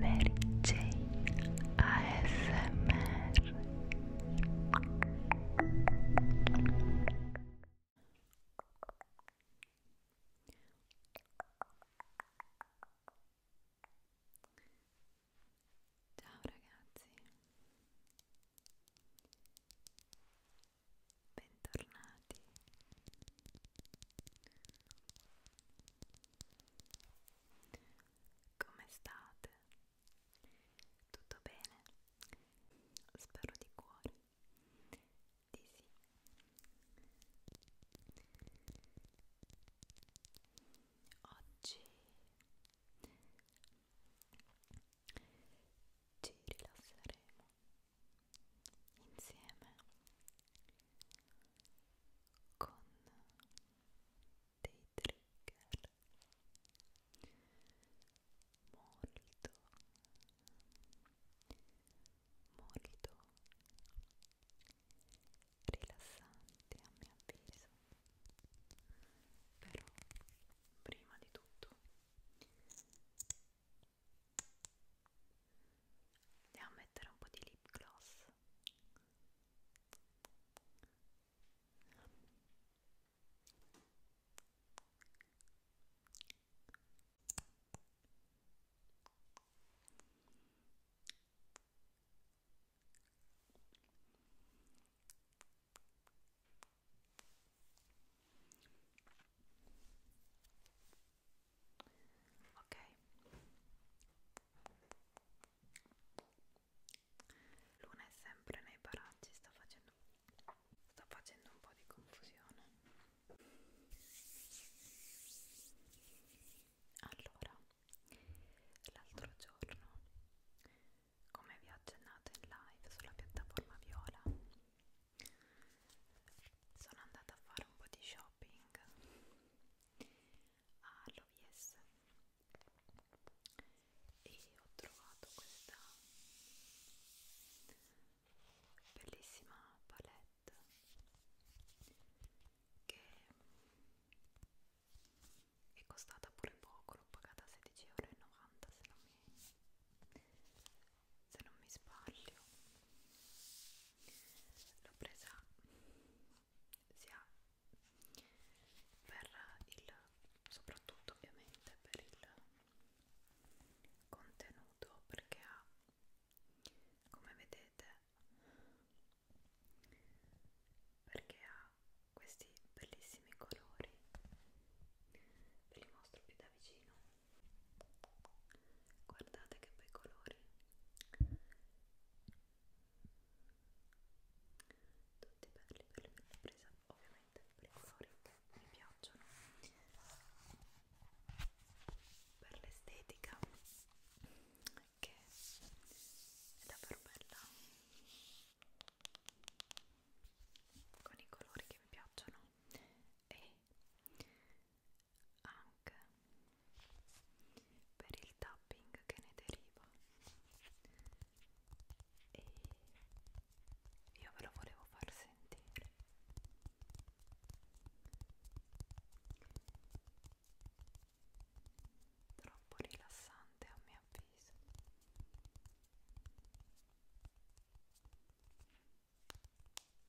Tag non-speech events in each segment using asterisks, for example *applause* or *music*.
Mary Jane ASMR Ciao ragazzi Bentornati come state? Tutto bene? Spero di cuore di sì. Oggi ci rilasseremo insieme con dei trigger molto molto rilassanti a mio avviso però prima di tutto andiamo a mettere un po' di lip gloss ok Luna è sempre nei paraggi sta facendo sta facendo un po' di confusione allora l'altro giorno come vi ho accennato in live sulla piattaforma viola sono andata a fare un po' di shopping shopping all'OVS e ho trovato questa bellissima palette che è costata pure poco, l'ho pagata 16,90 euro se non mi se non mi sbaglio l'ho presa sia per il soprattutto ovviamente per il contenuto perché ha come vedete perché ha questi bellissimi colori ve li mostro più da vicino guardate che bei colori tutti belli per la presa ovviamente per i colori che mi piacciono per l'estetica che è davvero bella con i colori che mi piacciono e anche per il tapping che ne deriva e io ve lo volevo far sentire troppo rilassante a mio avviso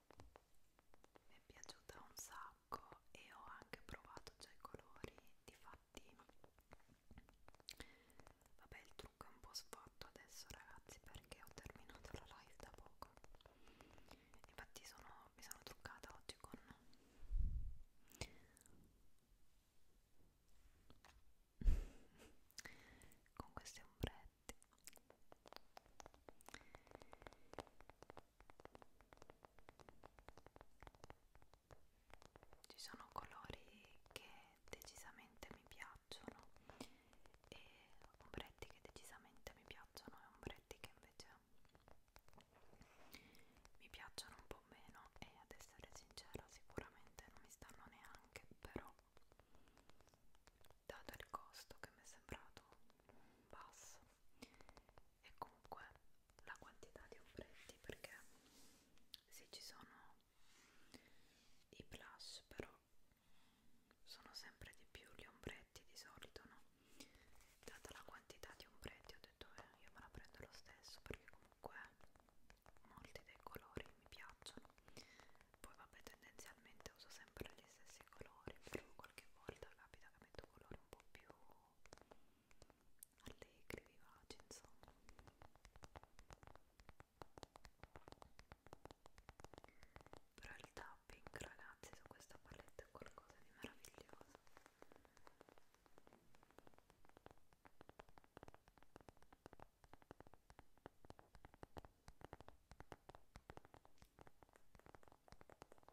mi è piaciuta un sacco e ho anche provato già i colori difatti vabbè il trucco è un po' sfatto adesso ragazzi perché ho terminato la live da poco infatti sono, mi sono truccata oggi con *laughs* con questi ombretti ci sono colori che decisamente mi piacciono e ombretti che decisamente mi piacciono e ombretti che invece mi piacciono un po' meno e ad essere sincera sicuramente non mi stanno neanche però dato il costo che mi è sembrato un pass e comunque la quantità di ombretti perché sì ci sono i blush però sono sempre di più gli ombretti di solito no data la quantità di ombretti ho detto eh, io me la prendo lo stesso perché comunque molti dei colori mi piacciono poi vabbè tendenzialmente uso sempre gli stessi colori però qualche volta capita metto colori un po' più allegri, vivaci, insomma. Però il tapping, ragazzi, su questa palette è qualcosa di meraviglioso.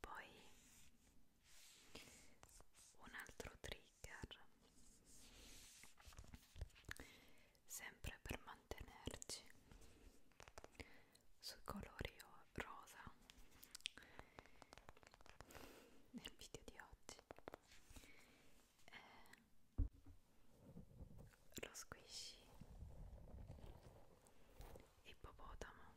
Poi un altro trigger sempre per mantenerci sui colori rosa nel video di oggi eh, lo squishy ippopotamo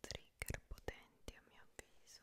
Trigger potenti a mio avviso.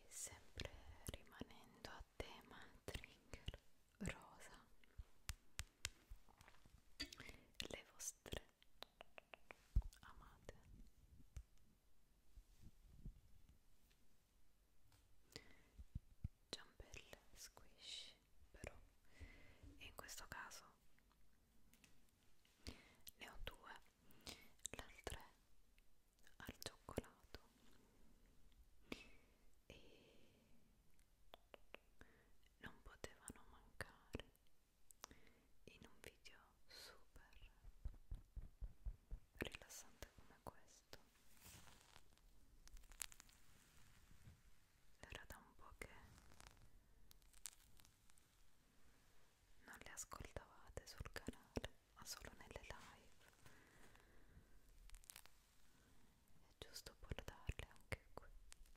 e sempre rimanendo a tema trigger rosa le vostre amate ciambelle squish però in questo caso ne ho due l'altra al cioccolato e non potevano mancare in un video super rilassante come questo era da un po' che non le ascoltavate sul canale ma solo nelle live è giusto portarle anche qui Ecco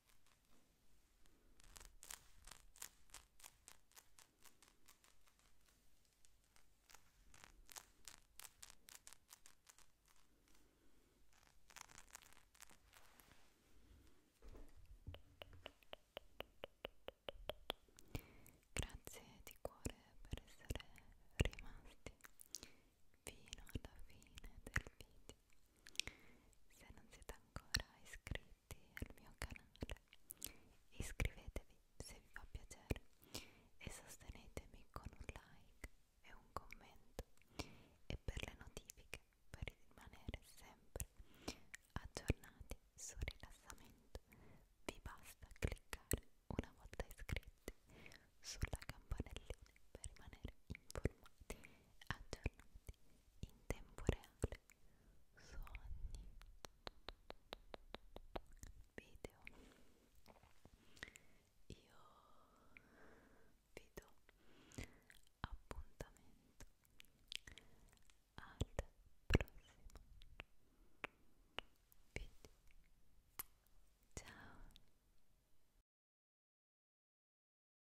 Grazie di cuore per essere rimasti fino alla fine del video. Se non siete ancora iscritti iscritti al mio canale iscrivetevi se vi fa piacere e sostenetemi con un like e un commento e per le notifiche per rimanere sempre aggiornati sul rilassamento vi basta cliccare una volta iscritti sulla campanellina per rimanere informati aggiornati in tempo reale sogni video io vi do appuntamento al prossimo video ciao